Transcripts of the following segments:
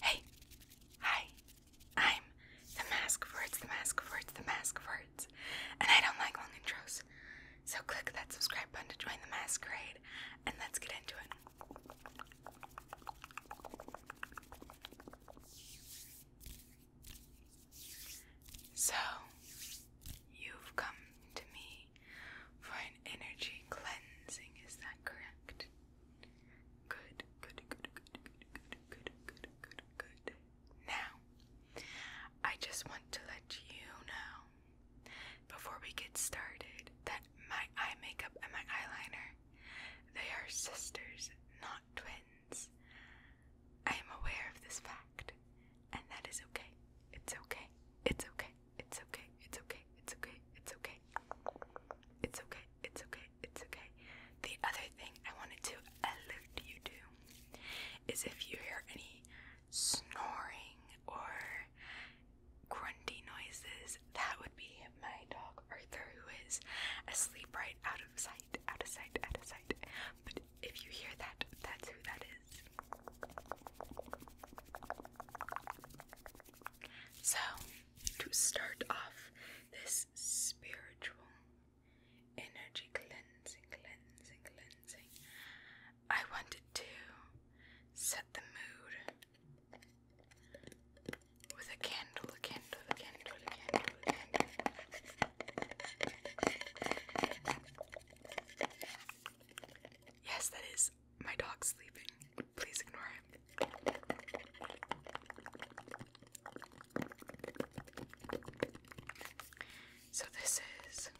Hey, hi, I'm the mask for the mask for the mask for and I don't like long intros. So click that subscribe button to join the masquerade, and let's get into it. So, you've come to me for an energy cleansing. Is that correct? Good, good, good, good, good, good, good, good, good. Now, I just want to let you know before we get started that my eye makeup and my eyeliner, they are sisters, not twins. I am aware of this fact, and that is okay. It's okay. It's okay. It's okay. It's okay. It's okay. It's okay. It's okay. It's okay. It's okay. The other thing I wanted to alert you to is if you hear any snoring or grunty noises, that would be my dog Arthur, who is asleep right out of sight, out of sight, out of sight. But if you hear that, that's who that is. So, to start off this spiritual energy cleansing, cleansing, cleansing, I wanted to set the mood with a candle, a candle, a candle, a candle, a candle. Yes, that is my dog sleeping. Please ignore him. So this is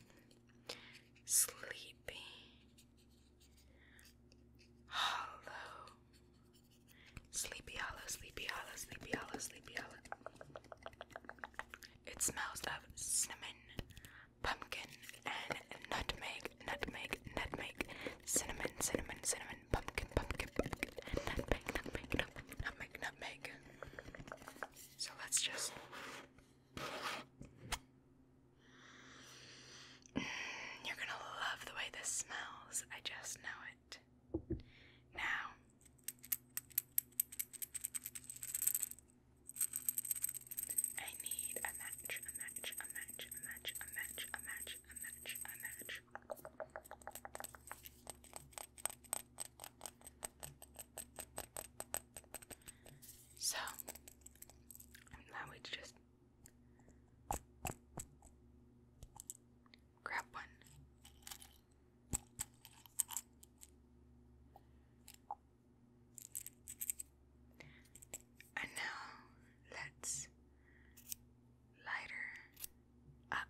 Sleepy Hollow. Sleepy Hollow, Sleepy Hollow, Sleepy Hollow, Sleepy Hollow. It smells of cinnamon, pumpkin, and nutmeg, nutmeg, nutmeg, cinnamon, cinnamon, cinnamon, pumpkin, pumpkin, pumpkin, nutmeg, nutmeg, nutmeg, nutmeg, nutmeg. So let's just. Mm, you're gonna love the way this smells. I just know it. Now, I need a match, a match, a match, a match, a match, a match, a match, a match. So now we just grab one and now let's light up,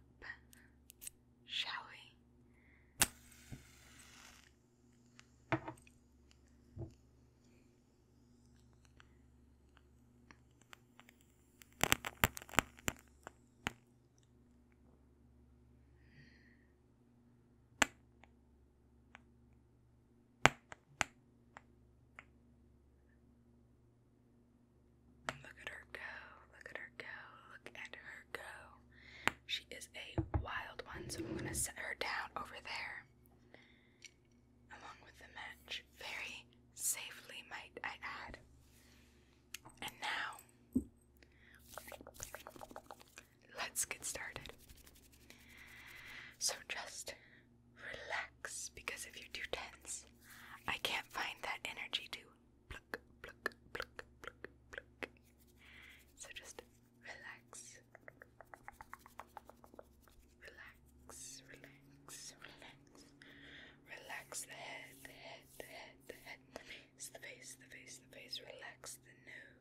shall we? Look at her go. Look at her go. Look at her go. She is a wild one, so I'm going to set her down over there along with the match. Very safely, might I add. And now, let's get started. So just relax because if you're too tense, I can't find that energy to pluck, pluck, pluck, pluck, pluck. So just relax. Relax, relax, relax. Relax the head, the head, the head, the head, the face, the face, the face, Relax the nose,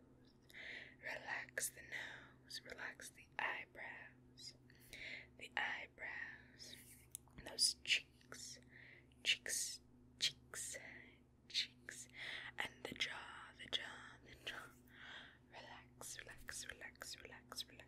relax the nose, relax the eyebrows, the eyebrows, those cheeks, cheeks, cheeks, cheeks, and the jaw, the jaw, the jaw. Relax, relax, relax, relax, relax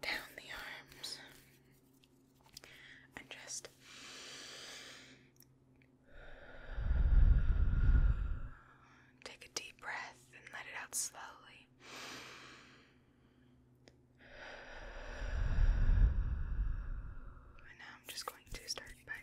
down the arms and just take a deep breath and let it out slowly. And now I'm just going to start by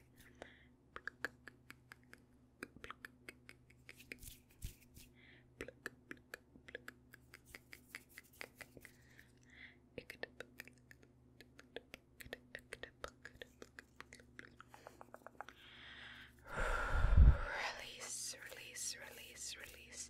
Release, release, release, release.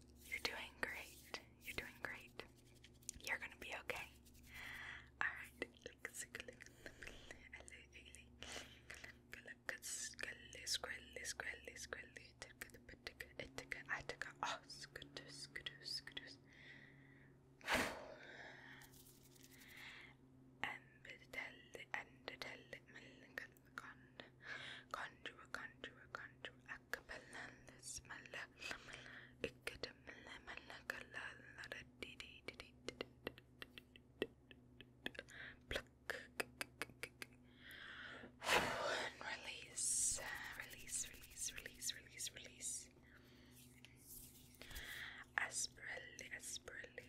you're doing great. You're doing great. You're gonna be okay. Alright. Conjure, conjure, conjure, conjure, acapella, smella, pluck, and release, release, release, release, release, release. Asperly, asperly,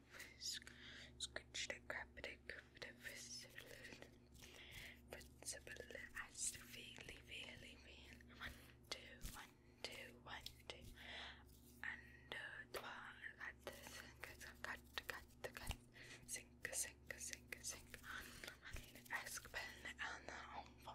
Scratched a carpeted carpeted principle as to fairly, fairly, fairly. One, two, one, two, one, two. And the one at the sink, cut, cut, cut, sink, sink, sink, sink. ask Ben and on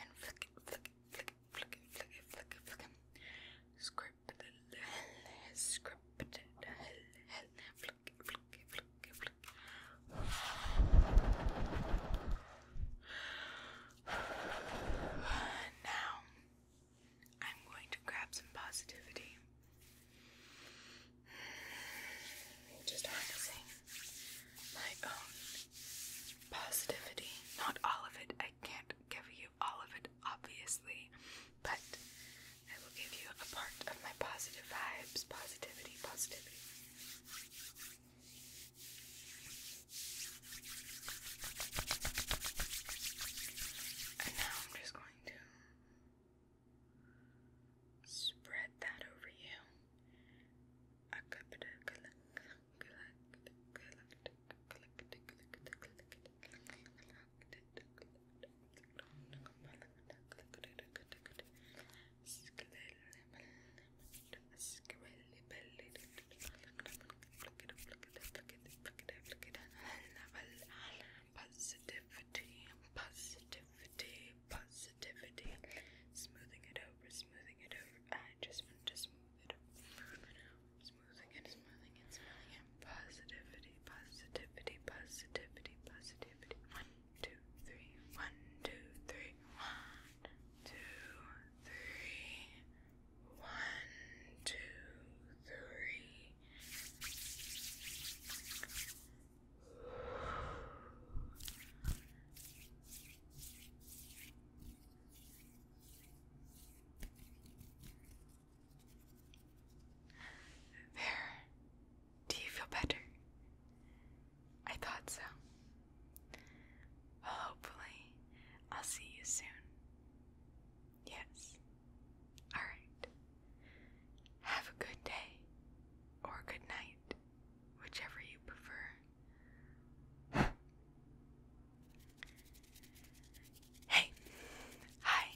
and flick flick flick flick flick flick flick script script flick flick flick flick now I'm going to grab some positivity. Just harnessing my own positivity. Not all of it. I can't give you all of it, obviously, but I will give you a part of my positive vibes, positivity, positivity. And now I'm just going to Spread that over you. Positivity, positivity, positivity sensitivity. Smoothing it over, smoothing it over. I uh, just want to smooth it over. Smoothing it, smoothing it, smoothing it. Positivity, positivity, positivity, positivity. One, two, three. One, two, three. One, two, three. One, two, three. There. Do you feel better? I thought so. hopefully, I'll see you soon. Yes. All right. Have a good day or good night, whichever you prefer. hey, hi.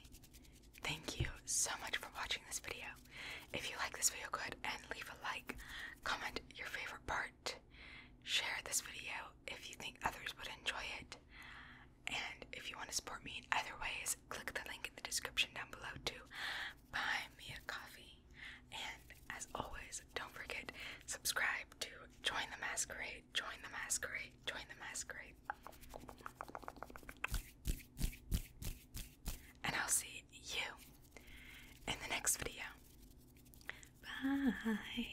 Thank you so much for watching this video. If you like this video, go ahead and leave a like, comment your favorite part, share this video if you think others would enjoy it, and if you want to support me in other ways, click the link in the description down below to buy me a coffee. And as always, don't forget subscribe to join the masquerade, join the masquerade, join the masquerade. And I'll see you in the next video. Bye.